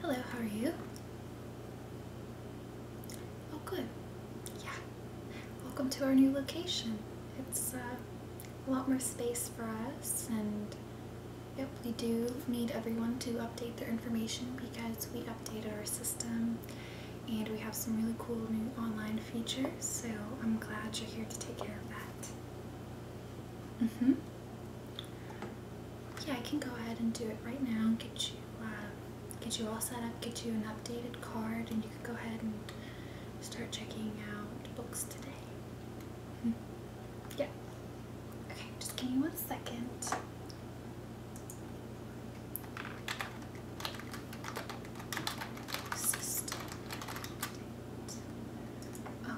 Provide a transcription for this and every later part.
Hello, how are you? Oh, good. Yeah. Welcome to our new location. It's uh, a lot more space for us, and yep, we do need everyone to update their information because we updated our system and we have some really cool new online features, so I'm glad you're here to take care of that. Mm hmm Yeah, I can go ahead and do it right now. Get you, uh, get you all set up. Get you an updated card, and you can go ahead and start checking out books today. Mm-hmm. Yeah. Okay, just give me one second. System.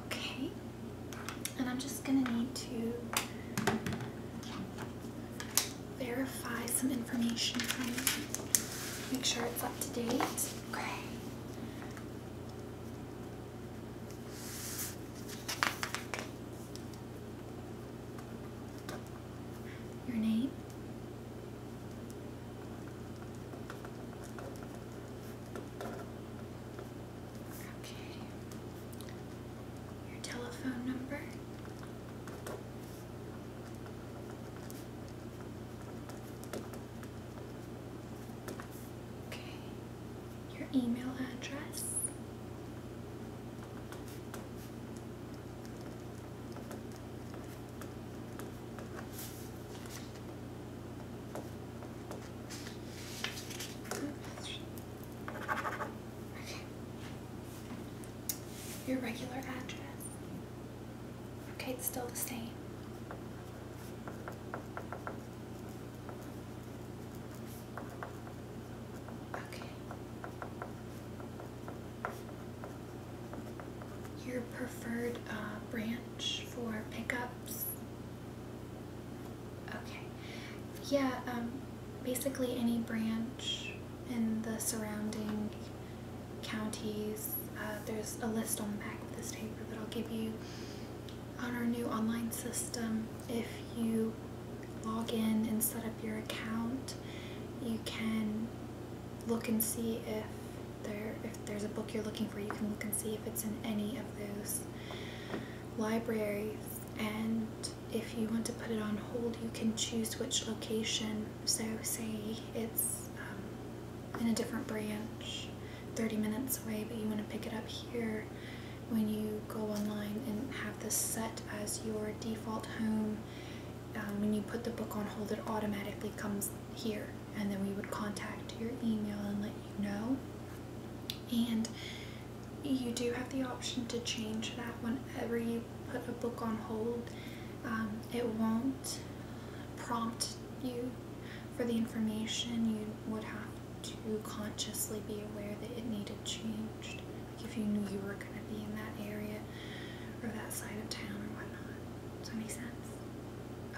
Okay, and I'm just going to need to verify some information from you, make sure it's up to date. Okay. Your name? Okay. Your telephone number. Okay. Your email address. Your regular address. Okay, it's still the same. Okay. Your preferred uh, brand for pickups. Okay. Yeah, um, basically any branch in the surrounding counties. Uh, there's a list on the back of this paper that'll give you on our new online system. If you log in and set up your account, you can look and see if there if there's a book you're looking for you can look and see if it's in any of those libraries and if you want to put it on hold you can choose which location so say it's um, in a different branch 30 minutes away but you want to pick it up here when you go online and have this set as your default home um, when you put the book on hold it automatically comes here and then we would contact your email and let you know. And you do have the option to change that whenever you put a book on hold. Um, it won't prompt you for the information. You would have to consciously be aware that it needed changed. Like if you knew you were going to be in that area or that side of town or whatnot. Does that make sense?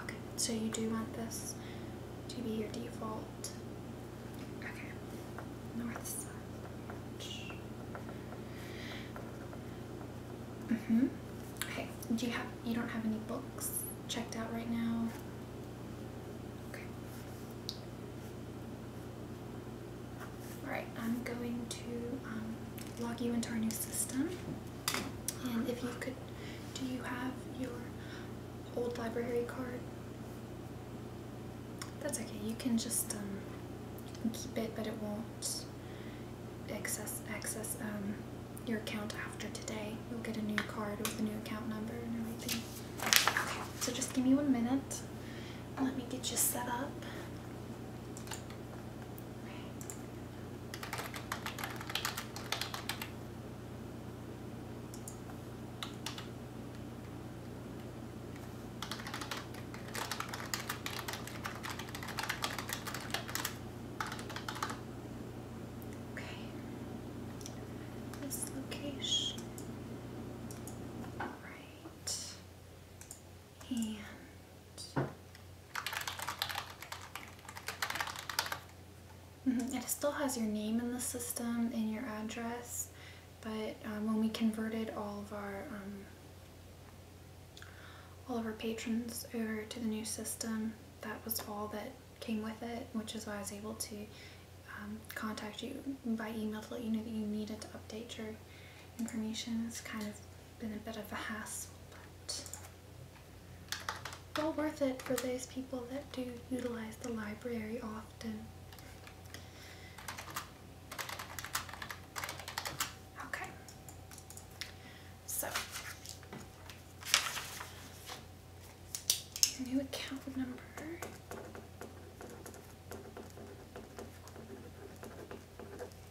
Okay. So you do want this to be your default. Okay, north side. Mm-hmm. Okay, do you have, you don't have any books checked out right now? Okay. Alright, I'm going to um, log you into our new system. And if you could do you have your old library card? That's okay. You can just um, keep it, but it won't access access um, your account after today. You'll get a new card with a new account number and everything. so just give me one minute. Let me get you set up. Okay. This location. All right. And Mm-hmm. It still has your name in the system and your address, but um, when we converted all of our um, all of our patrons over to the new system, that was all that came with it, which is why I was able to um, contact you by email to let you know that you needed to update your information. It's kind of been a bit of a hassle, but. Well worth it for those people that do utilize the library often. Okay, so new account number.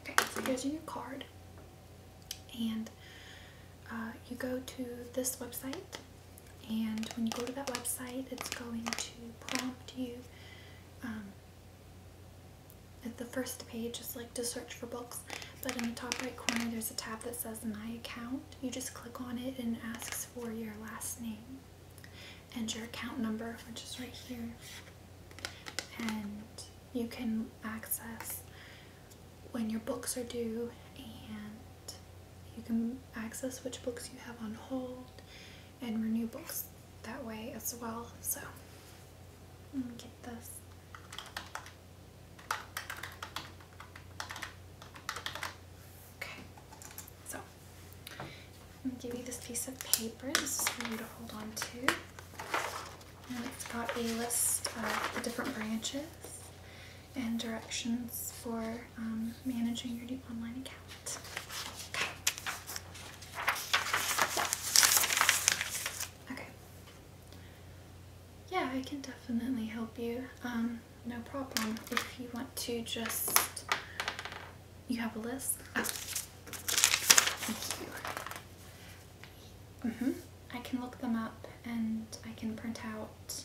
Okay, here's your card and uh, you go to this website and when you go to that website it's going to prompt you um, at the first page is like to search for books but in the top right corner there's a tab that says my account you just click on it and it asks for your last name and your account number which is right here and you can access when your books are due and you can access which books you have on hold and renew books that way as well. So get this. Okay, so I'm gonna give you this piece of paper. This is for you to hold on to. And it's got a list of the different branches and directions for um, managing your Deep Online account. Okay. Okay. Yeah, I can definitely help you. Um, no problem. If you want to just, you have a list. Oh, thank you. Mm -hmm. I can look them up and I can print out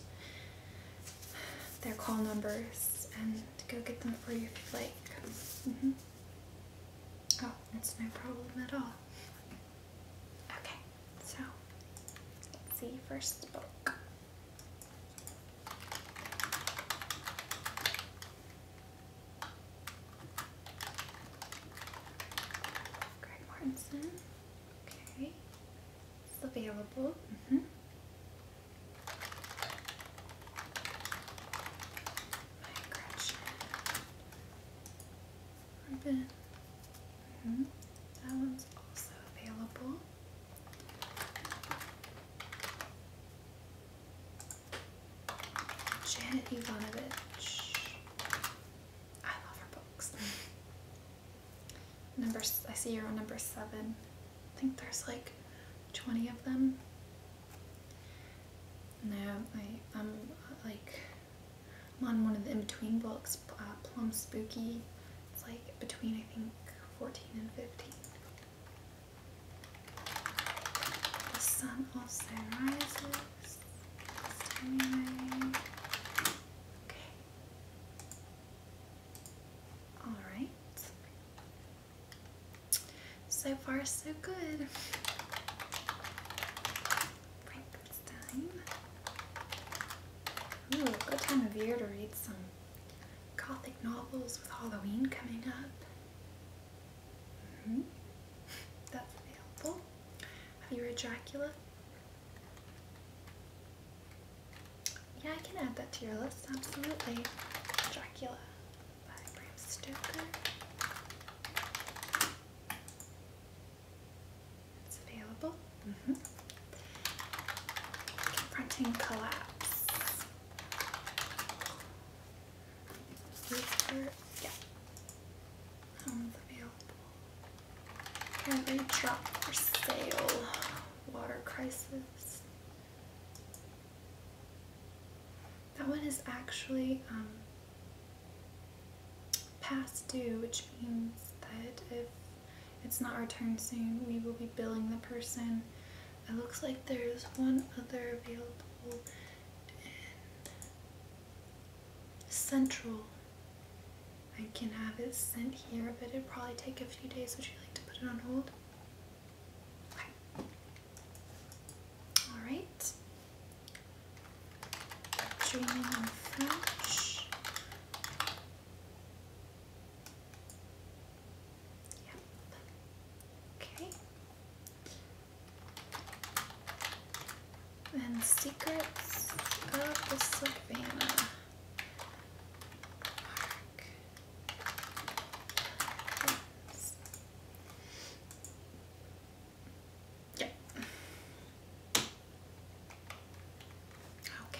their call numbers and go get them for you if you'd like. Mm-hmm. Oh, it's no problem at all. Okay, so let's see first book. Greg Martinson. Okay. It's available. -hmm. My Gretchen. Urban. -hmm. That one's also available. Janet Ivanovich. I love her books. number I see you're on number seven. I think there's like twenty of them. No, I I'm uh, like I'm on one of the in between books, uh, Plum Spooky. It's like between I think fourteen and fifteen. The sun also rises. Okay. All right. So far, so good. Frankenstein. Ooh, good time of year to read some gothic novels with Halloween coming up. -hmm. That's helpful. Have you read Dracula? Yeah, I can add that to your list, absolutely. Dracula Bram Stoker. It's available. Mm-hmm. Confronting collapse. yeah, um, available. Apparently dropped for sale. Water crisis. That one is actually um, past due, which means that if it's not returned soon, we will be billing the person. It looks like there's one other available central. I can have it sent here, but it'd probably take a few days. Would you like to put it on hold? Alright. Yep. Okay and the Secrets of the Savannah Park. Yep. Okay.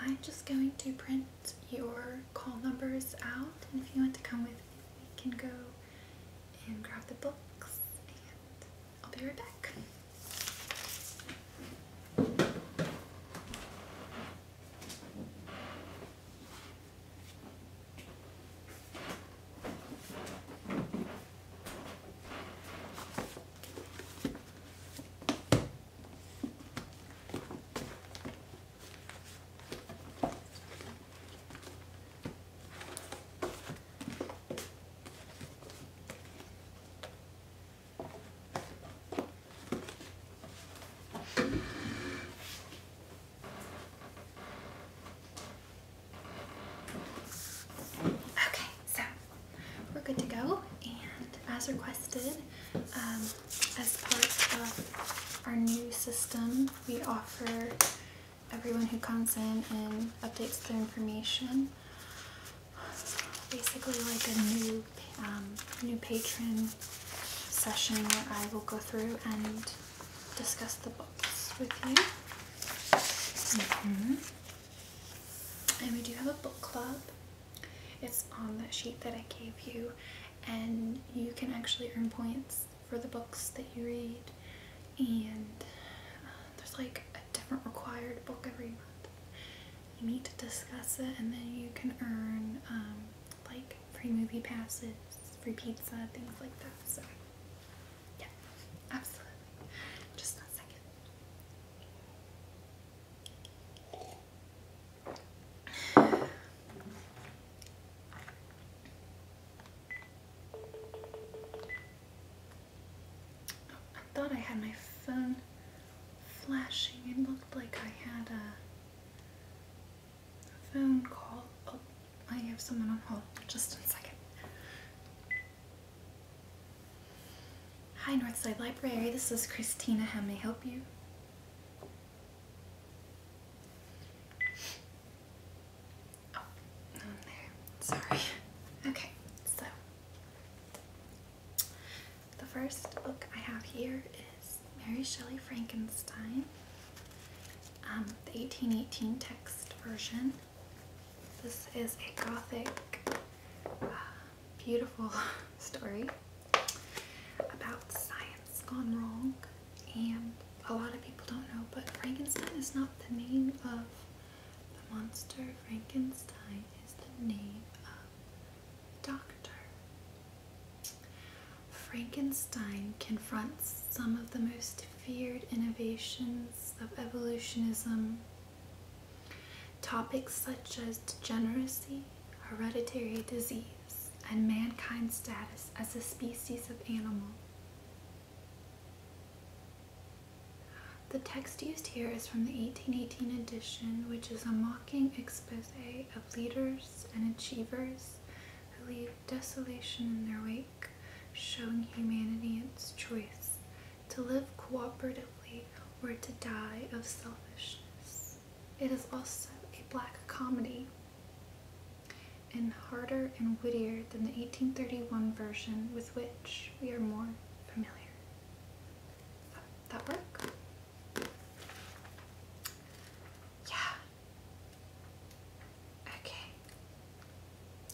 I'm just going to print your call numbers out and if you want to come with me we can go and grab the books I'll be right back. Okay, so we're good to go, and as requested, um, as part of our new system, we offer everyone who comes in and updates their information. Basically, like a new um, new patron session where I will go through and discuss the books with you. Mm-hmm. And we do have a book club. It's on that sheet that I gave you, and you can actually earn points for the books that you read and uh, there's like a different required book every month. You need to discuss it and then you can earn um, like free movie passes, free pizza, things like that. So yeah, absolutely. Just a second. I thought I had my phone flashing. It looked like I had a phone call. Oh, I have someone on hold. Just a second. Hi, Northside Library. This is Christina. How may I help you? Oh, there. Sorry. Okay, so the first book I have here is Mary Shelley Frankenstein, um, the 1818 text version. This is a gothic, uh, beautiful story about science gone wrong and a lot of people don't know, but Frankenstein is not the name of the monster. Frankenstein is the name of the Doctor. Frankenstein confronts some of the most feared innovations of evolutionism. Topics such as degeneracy, hereditary disease, and mankind's status as a species of animal. The text used here is from the 1818 edition, which is a mocking expose of leaders and achievers who leave desolation in their wake, showing humanity its choice to live cooperatively or to die of selfishness. It is also a black comedy and harder and wittier than the 1831 version with which we are more familiar. That work? Yeah. Okay.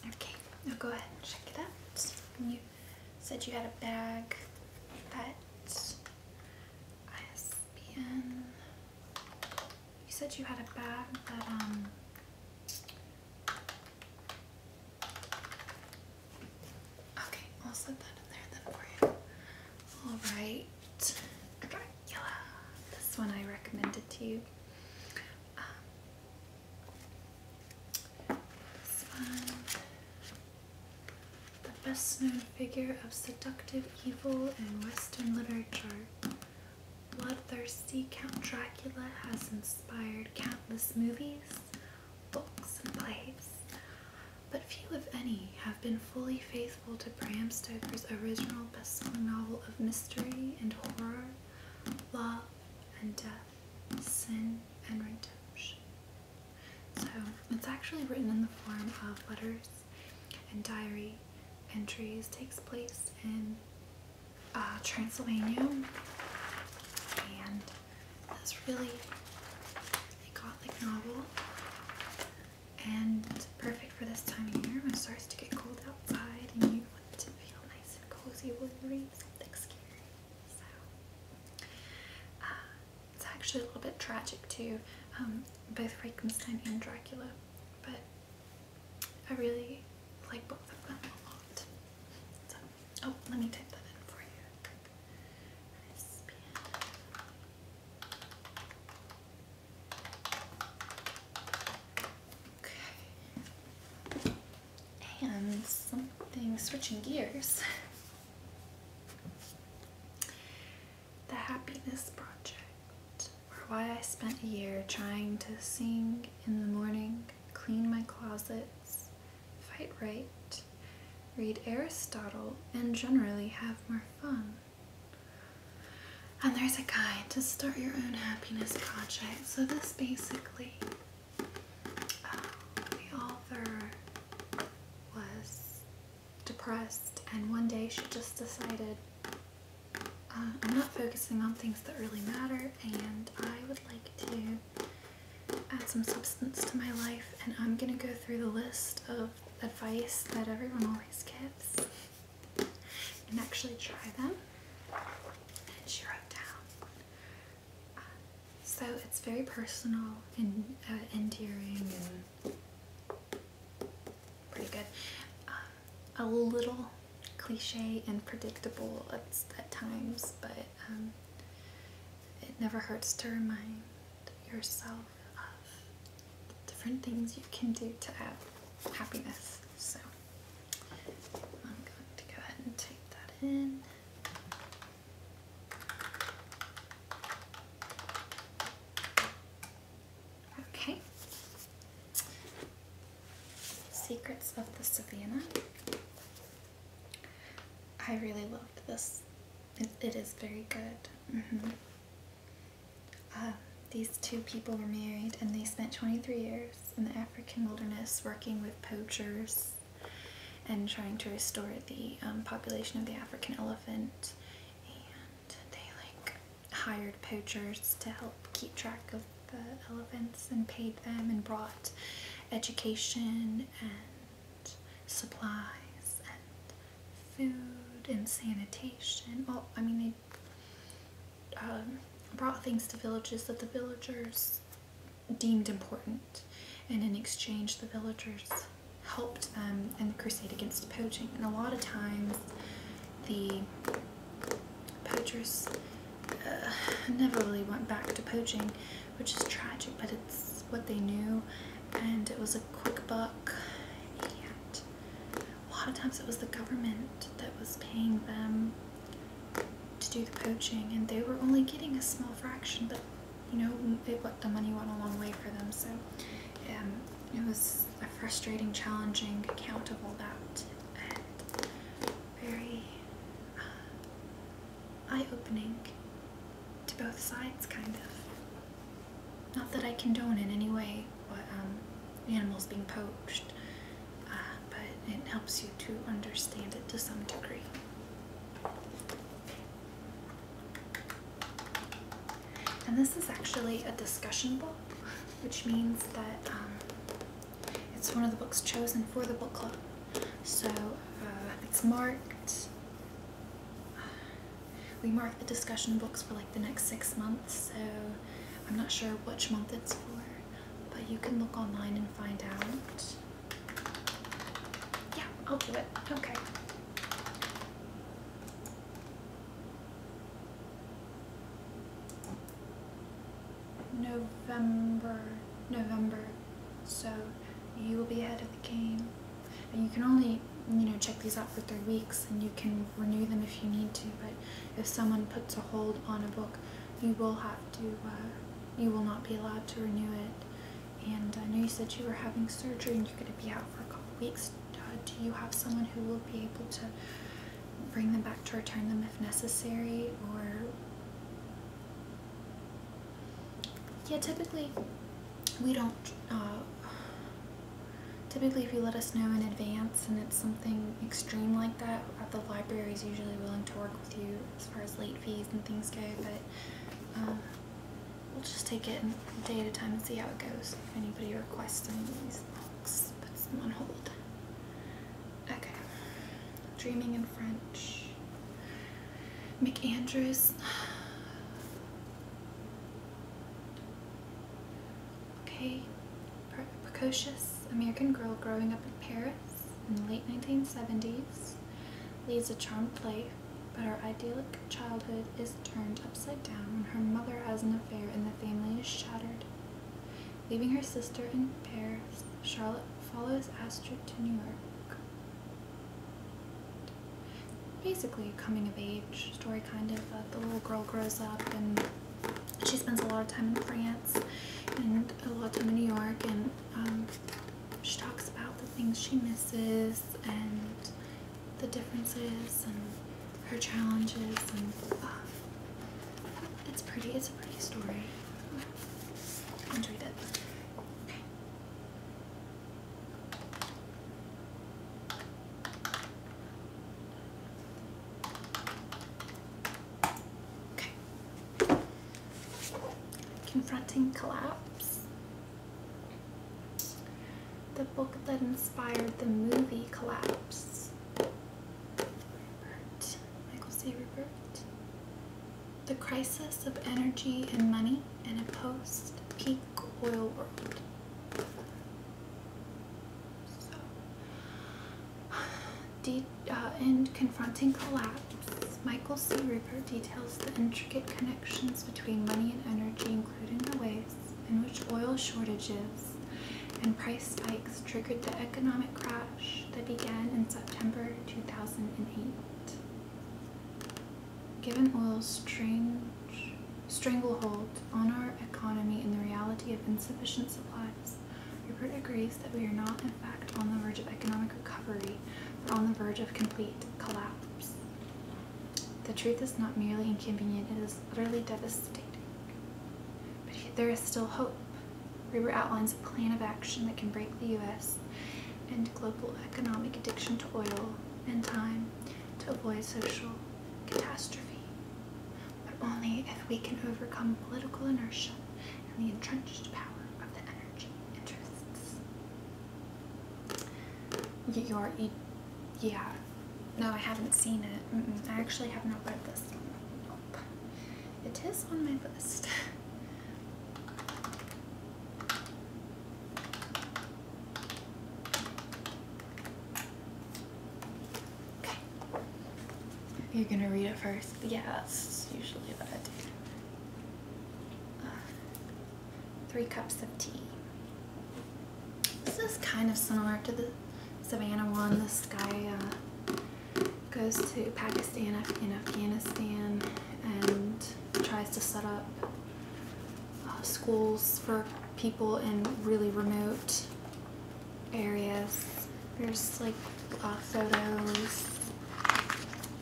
Okay, go ahead check it out. You said you had a bag that ISBN you said you had a bag that um Okay, I'll slip that in there then for you. Alright. I This one I recommended to you. Um, the best known figure of seductive evil in Western literature. Bloodthirsty Count Dracula has inspired countless movies, books, and plays, but few, if any, have been fully faithful to Bram Stoker's original best-selling novel of mystery and horror, love and death, sin and redemption. So, it's actually written in the form of letters and diary entries takes place in uh, Transylvania and this really a gothic novel and it's perfect for this time of year when it starts to get cold outside and you want to feel nice and cozy when you read something scary. So uh, it's actually a little bit tragic too, um, both Frankenstein and Dracula, but I really like both of them a lot. oh, let me type that in for you. Okay. And something switching gears. The Happiness Project or why I spent a year trying to sing in the morning, clean my closets, fight right, read Aristotle, and generally have more fun. And there's a guide to start your own happiness project. So this basically, uh, the author was depressed and one day she just decided uh, I'm not focusing on things that really matter, and I would like to add some substance to my life. And I'm gonna go through the list of advice that everyone always gives and actually try them. And she wrote down. Uh, so it's very personal and uh, endearing and pretty good. Um, a little cliche and predictable at, times, but um, it never hurts to remind yourself of different things you can do to add happiness. So I'm going to go ahead and take that in. Okay. Secrets of the Savannah. I really loved this. it is very good. Mm-hmm. Uh, these two people were married and they spent 23 years in the African wilderness working with poachers and trying to restore the um, population of the African elephant. And they like hired poachers to help keep track of the elephants and paid them and brought education and supplies and food and sanitation. Well, I mean, they um, brought things to villages that the villagers deemed important, and in exchange, the villagers helped them in the crusade against poaching. And a lot of times, the poachers uh, never really went back to poaching, which is tragic, but it's what they knew, and it was a quick buck. And a lot of times it was the government that was paying them to do the poaching, and they were only getting a small fraction, but you know, what the money went a long way for them, so um, it was a frustrating, challenging account of all that and very uh, eye-opening to both sides, kind of. Not that I condone in any way but um, animals being poached, uh, but it helps you to understand it to some degree. And this is actually a discussion book, which means that um, it's one of the books chosen for the book club. So uh, it's marked. Uh, we mark the discussion books for like the next six months, so I'm not sure which month it's for, but you can look online and find out. Yeah, I'll do it. Okay. November, November. So you will be ahead of the game. And you can only, you know, check these out for three weeks and you can renew them if you need to. But if someone puts a hold on a book, you will have to, uh, you will not be allowed to renew it. And I know you said you were having surgery and you're going to be out for a couple weeks. Uh, do you have someone who will be able to bring them back to return them if necessary or yeah typically we don't uh, typically if you let us know in advance and it's something extreme like that the library is usually willing to work with you as far as late fees and things go but um, we'll just take it day at a time and see how it goes if anybody requests any of these books, puts on hold. Okay. Dreaming in French. McAndrews. Okay. Precocious American girl growing up in Paris in the late 1970s leads a charmed life, but her idyllic childhood is turned upside down when her mother has an affair and the family is shattered. Leaving her sister in Paris, Charlotte follows Astrid to New York. Basically, a coming of age story, kind of. Uh, the little girl grows up and she spends a lot of time in France and a lot of time in New York, and um, she talks about the things she misses and the differences and her challenges and uh, it's pretty. It's a pretty story. Enjoyed it. Okay. Okay. Confronting collapse. The book that inspired the movie Collapse. Michael C. Rupert. The Crisis of Energy and Money in a Post-Peak Oil World. Uh, in Confronting Collapse, Michael C. Rupert details the intricate connections between money and energy, including the ways in which oil shortages and price spikes triggered the economic crash that began in September 2008. Given oil's stranglehold on our economy and the reality of insufficient supplies, Rupert agrees that we are not, in fact, on the verge of economic recovery, but on the verge of complete collapse. The truth is not merely inconvenient, it is was utterly devastating. But there is still hope. Reber outlines a plan of action that can break the U.S. and global economic addiction to oil and time to avoid social catastrophe. But only if we can overcome political inertia and the entrenched power of the energy interests. Your yeah. No, I haven't seen it. I actually have not read this one. It is on my list. okay. You're gonna read it first? Yeah, that's usually what I do. Uh, three cups of tea. This is kind of similar to the Savannah one. This guy uh, goes to Pakistan and Afghanistan and tries to set up uh, schools for people in really remote areas. There's like uh, photos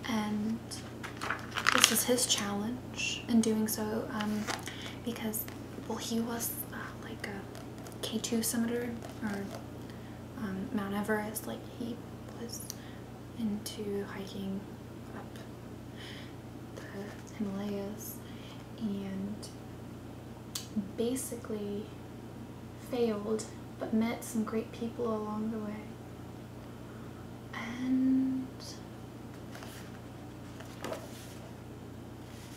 and this is his challenge in doing so um, because well he was uh, like a K2 summiter or um, Mount Everest like he was into hiking up the Himalayas and basically failed but met some great people along the way and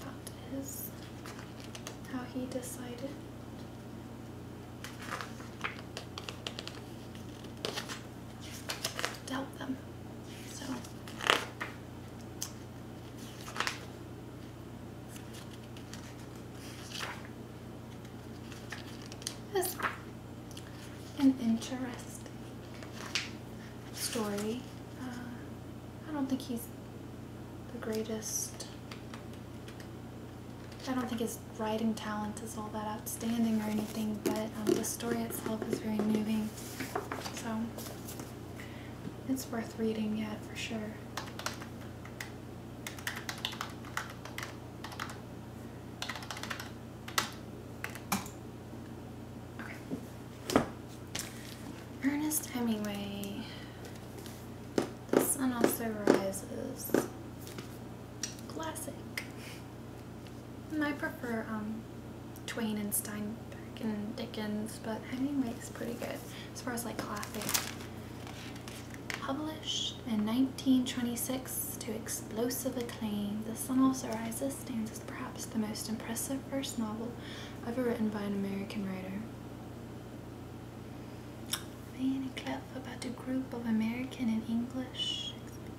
that is how he decided. To help them. So that's an interesting story. Uh, I don't think he's the greatest. I don't think his writing talent is all that outstanding or anything, but um, the story itself is very moving. So it's worth reading yet for sure. Ernest Hemingway. The Sun Also Rises. Classic. I prefer um, Twain and Steinbeck and Dickens, but Hemingway is pretty good as far as like classic. Published in 1926 to explosive acclaim, The Sun Also Rises stands perhaps the most impressive first novel ever written by an American writer. A Clough about a group of American and English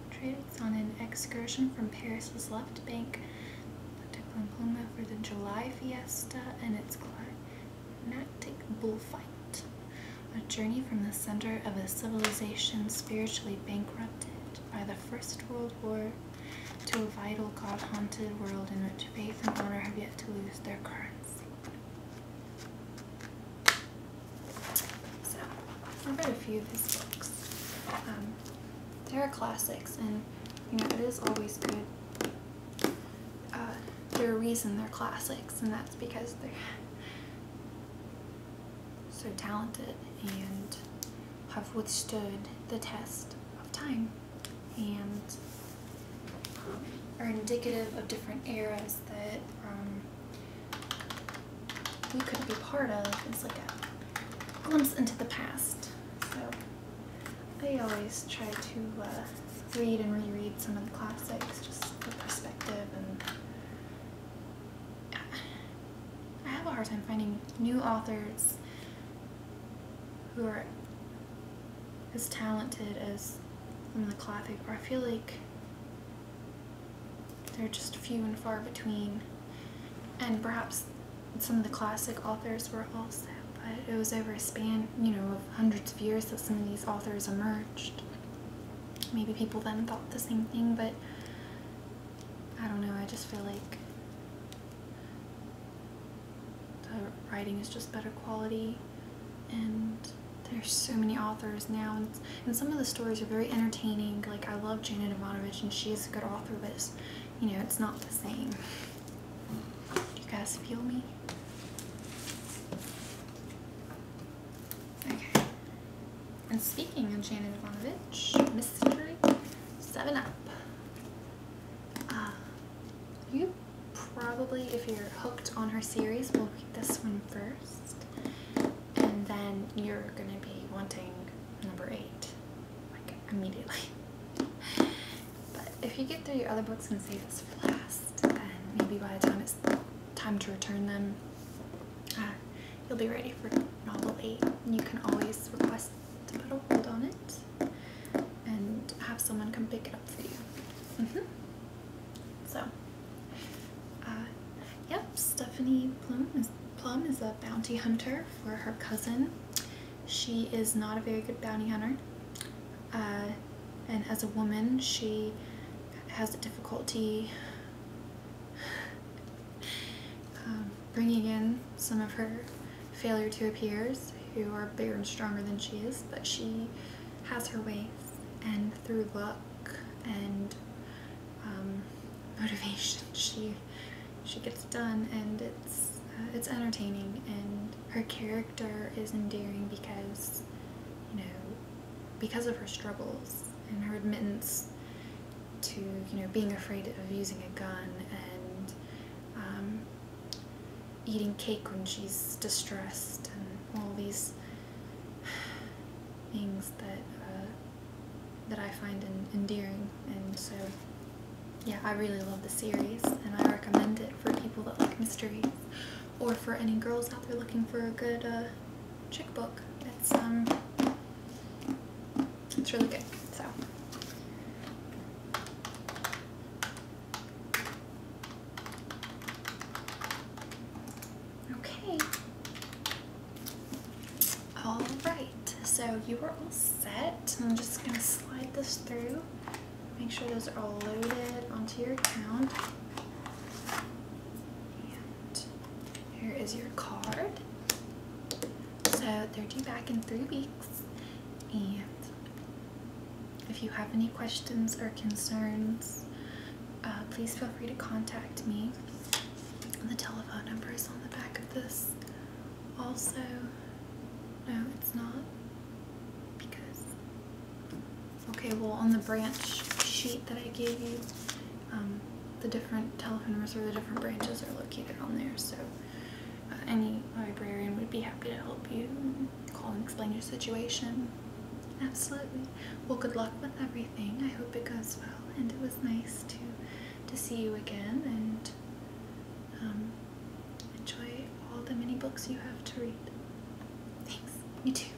expatriates on an excursion from Paris's left bank to Oklahoma for the July fiesta and its climactic bullfight. A journey from the center of a civilization spiritually bankrupted by the First World War to a vital, God haunted world in which faith and honor have yet to lose their currency. So, I've read a few of his books. Um, they're classics, and you know, it is always good. Uh, they're a reason they're classics, and that's because they're so talented and have withstood the test of time and um, are indicative of different eras that um, we could be part of. It's like a glimpse into the past. So I always try to uh, read and reread some of the classics just for perspective and I have a hard time finding new authors who are as talented as some of the classic, or I feel like they're just few and far between. And perhaps some of the classic authors were also, but it was over a span, you know, of hundreds of years that some of these authors emerged. Maybe people then thought the same thing, but I don't know, I just feel like the writing is just better quality and there's so many authors now and, some of the stories are very entertaining. Like I love Janet Ivanovich and she is a good author but it's, you know, it's not the same. You guys feel me? Okay. And speaking of Janet Ivanovich, Mystery Seven Up. Uh, you probably, if you're hooked on her series, will read this one first, and then you're gonna be wanting number eight, like immediately. But if you get through your other books and save this for last, then maybe by the time it's time to return them, uh, you'll be ready for novel 8 you can always request to put a hold on it and have someone come pick it up for you mm-hmm. so uh, yep Stephanie Plum is, a bounty hunter for her cousin she is not a very good bounty hunter uh, and as a woman she has a difficulty um, bringing in some of her failure to her peers, who are bigger and stronger than she is, but she has her ways, and through luck and um, motivation, she she gets done, and it's uh, it's entertaining, and her character is endearing because you know because of her struggles and her admittance to you know being afraid of using a gun and um, eating cake when she's distressed and all these things that uh, that I find endearing and so yeah I really love the series and I recommend it for people that like mysteries or for any girls out there looking for a good uh, chick book. It's um it's really good. So. Okay. All right. So you are all set. I'm just gonna slide this through. Make sure those are all loaded onto your account. And here is your card. So they're due back in three weeks. And if you have any questions or concerns, uh, please feel free to contact me. The telephone number is on the back of this. Also, no, it's not because, okay, well, on the branch sheet that I gave you, um, the different telephoners or the different branches are located on there. So uh, any librarian would be happy to help you call and explain your situation. Absolutely. Well, good luck with everything. I hope it goes well, and it was nice to to see you again. And um, enjoy all the many books you have to read. Thanks. You too.